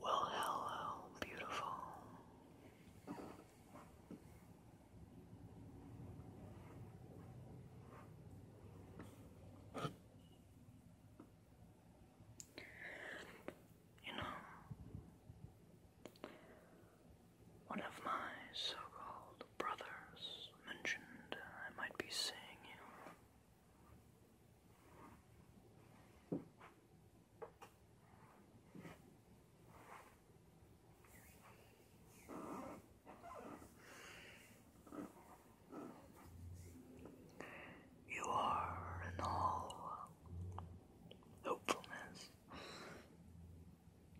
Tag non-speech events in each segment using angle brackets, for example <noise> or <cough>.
Well, hello, beautiful. You know, one of my so called brothers mentioned I might be seeing you. You are in all hopefulness,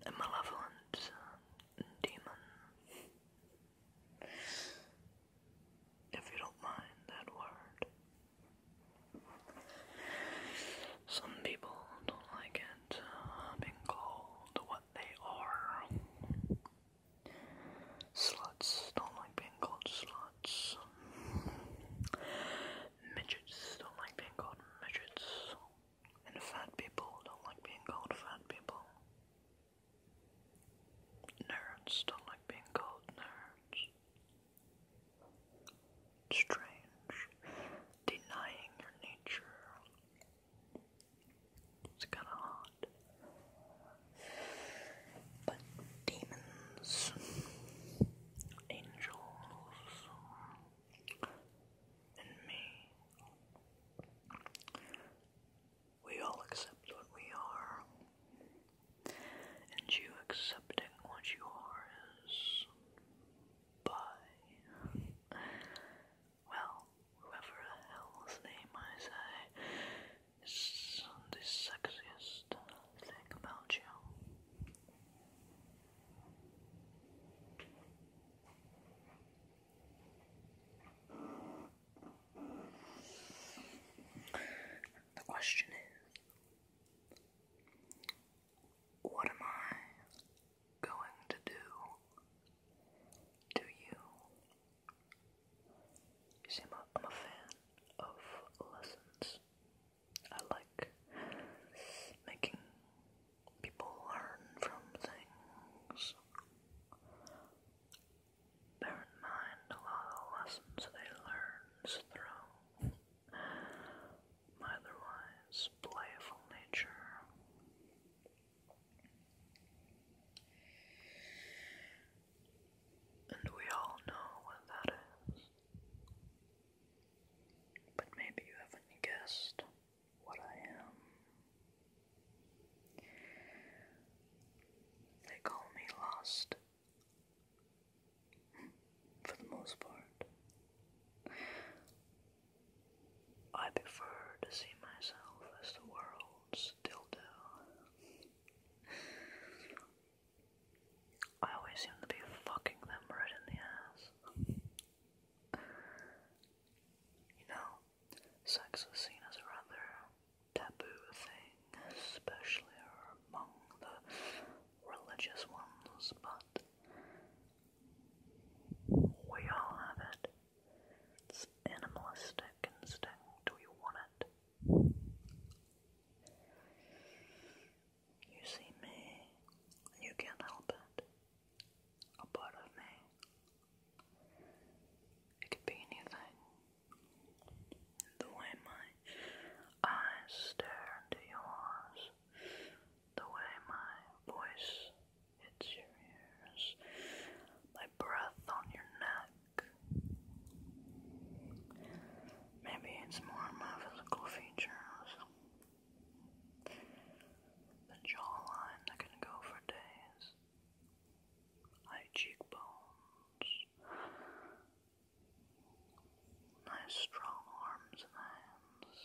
a malevolent demon. If you don't mind that word. Some people don't like it uh, being called what they are. Sluts don't like being called sluts midgets don't like being called midgets, and fat people don't like being called fat people. Nerds don't like being called nerds. Strange, denying your nature. It's kind of odd. But demons angels and me. We all accept what we are, and you accepting what you are is by, well, whoever the hell's name I say is the sexiest thing about you. The question is, what am I going to do to you? You see, i I'm a fan of lessons. I like making people learn from things. Bear in mind a lot of lessons they learn through my otherwise playful nature. And we all know what that is. But maybe you haven't guessed what I am. They call me lost. <laughs> For the most part. I prefer to see myself as the world's dildo. I always seem to be fucking them right in the ass. You know, sex is seen as a rather taboo thing, especially among the religious ones, but we all have it. It's animalistic instinct, we want it. You see me, and you can't help it. A part of me. It could be anything. The way my eyes stare into yours, the way my voice hits your ears, my breath on your neck. Maybe it's more my physical features. The jawline that can go for days. High cheekbones. Nice strong arms and hands.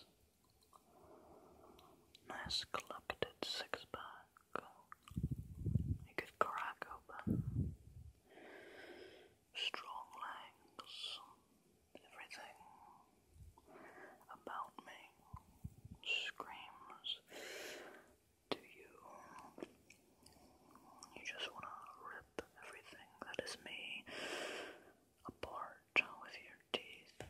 Nice collected six pack. You could crack open strong legs, everything about me screams to you. You just want to rip everything that is me apart with your teeth.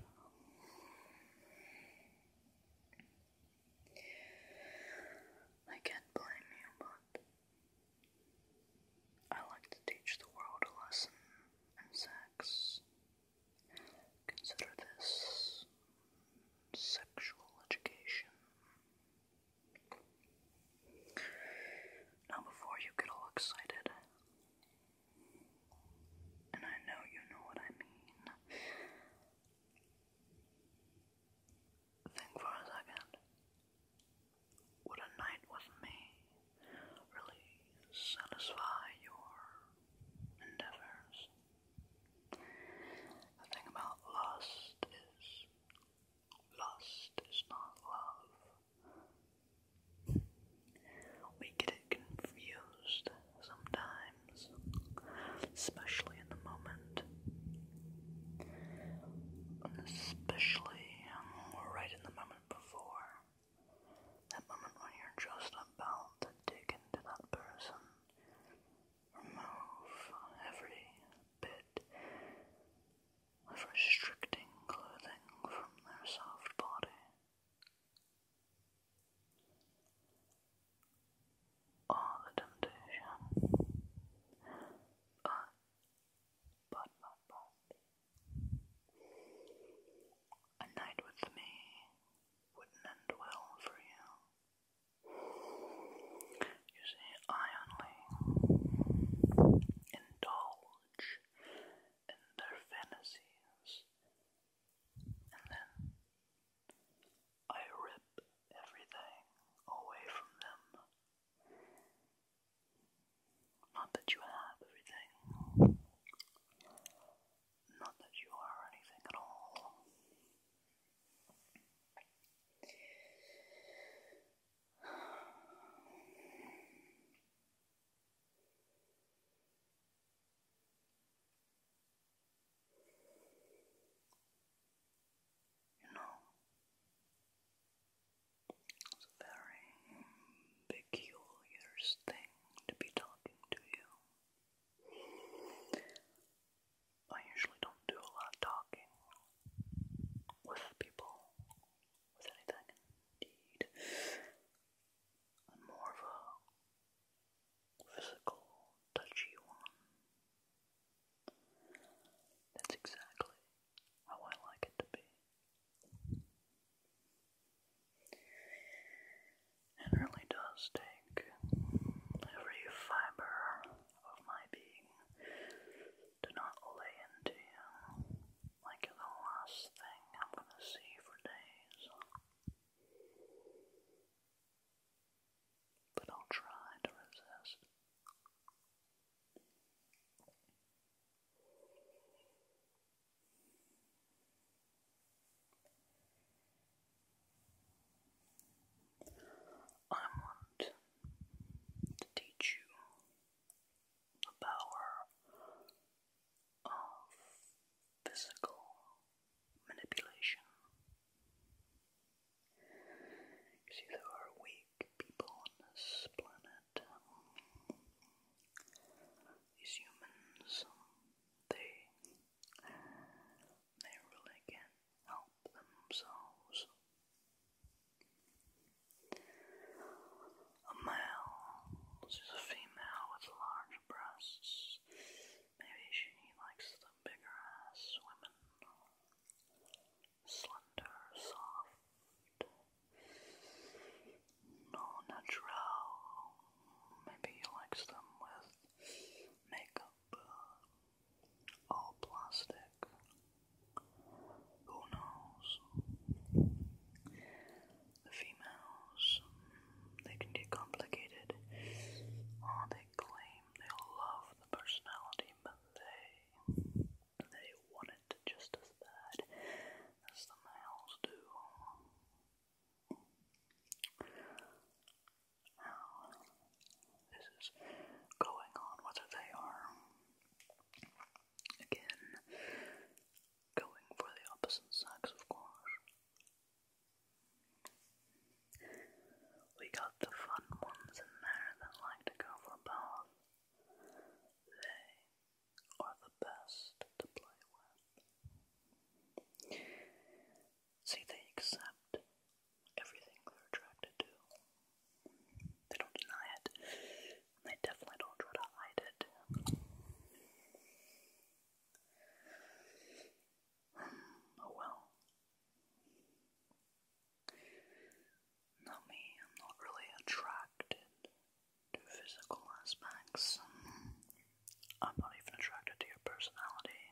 I can't blame you, but I like to teach the world a lesson in sex. Consider this sexual education. Now, before you get all excited, and I know you know what I mean, Think for a second. Would a night with me really satisfy your endeavors? The thing about lust is lust is not love. We get it confused sometimes, especially in the moment Especially um, right in the moment before. That moment when you're just about to dig into that person. Remove every bit of restricting clothing from their soft body. Oh, the temptation. But, but, but. A night with me wouldn't end well for you. You see, I only indulge in their fantasies, and then I rip everything away from them not that you have everything, not that you are anything at all. You know, it's a very peculiar thing to be talking to you. I usually don't do a lot of talking with people, with anything indeed. I'm more of a physical, touchy one. That's exactly how I like it to be. It really does take every fiber of my being to not lay into you like the last thing I'm gonna see for days. But I'll try to resist. I want to teach you the power of physical manipulation. See, there are weak people on this planet. These humans, they, they really can't help themselves. A male, this a female with large breasts. Maybe she likes the bigger ass women slender, soft, no natural. Maybe he likes them with makeup, uh, all plastic. Who knows? The females, they can get complicated. Oh, they claim they love the personality, but they. They want it just as bad as the males do. Now, this is going on whether they are, again, going for the opposite sex, of course. We got the fun ones in there that like to go for both. They are the best to play with. See, they accept everything they're attracted to. They don't deny it. they definitely don't try to hide it. Hmm, oh well. Not me, I'm not really attracted to physical aspects. I'm not even attracted to your personality.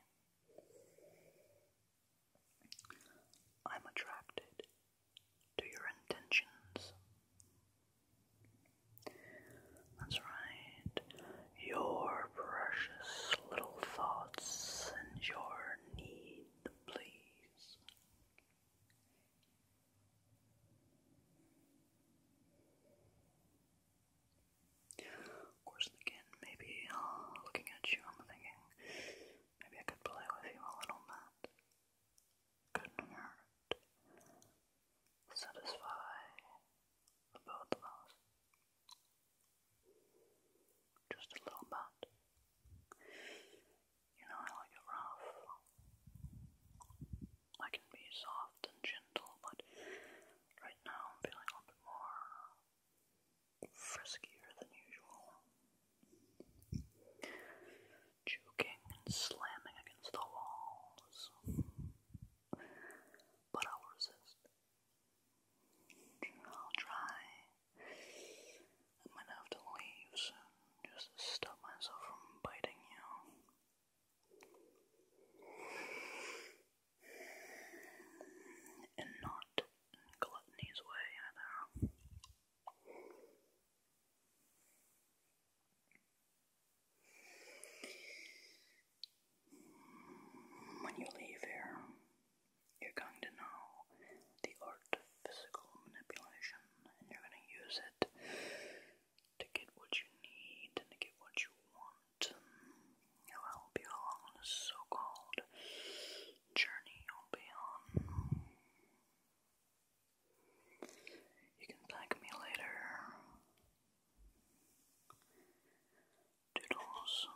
I'm attracted to your intentions. That's right. Your precious little thoughts and your need please. Of again, maybe uh, looking at you, I'm thinking maybe I could play with you a little bit. Couldn't hurt. Satisfy the both Just a little bit. You know, I like rough. I can be soft and gentle, but right now I'm feeling a bit more friskier than usual. Juking and slamming against the walls. But I'll resist. I'll try I might have to leave soon just stop myself from biting you. And not gluttony's way either. When you leave here, you're going to know the art of physical manipulation, and you're going to use it to get what you need and to get what you want. It'll help on this so called journey you'll be on. You can thank me later. Doodles.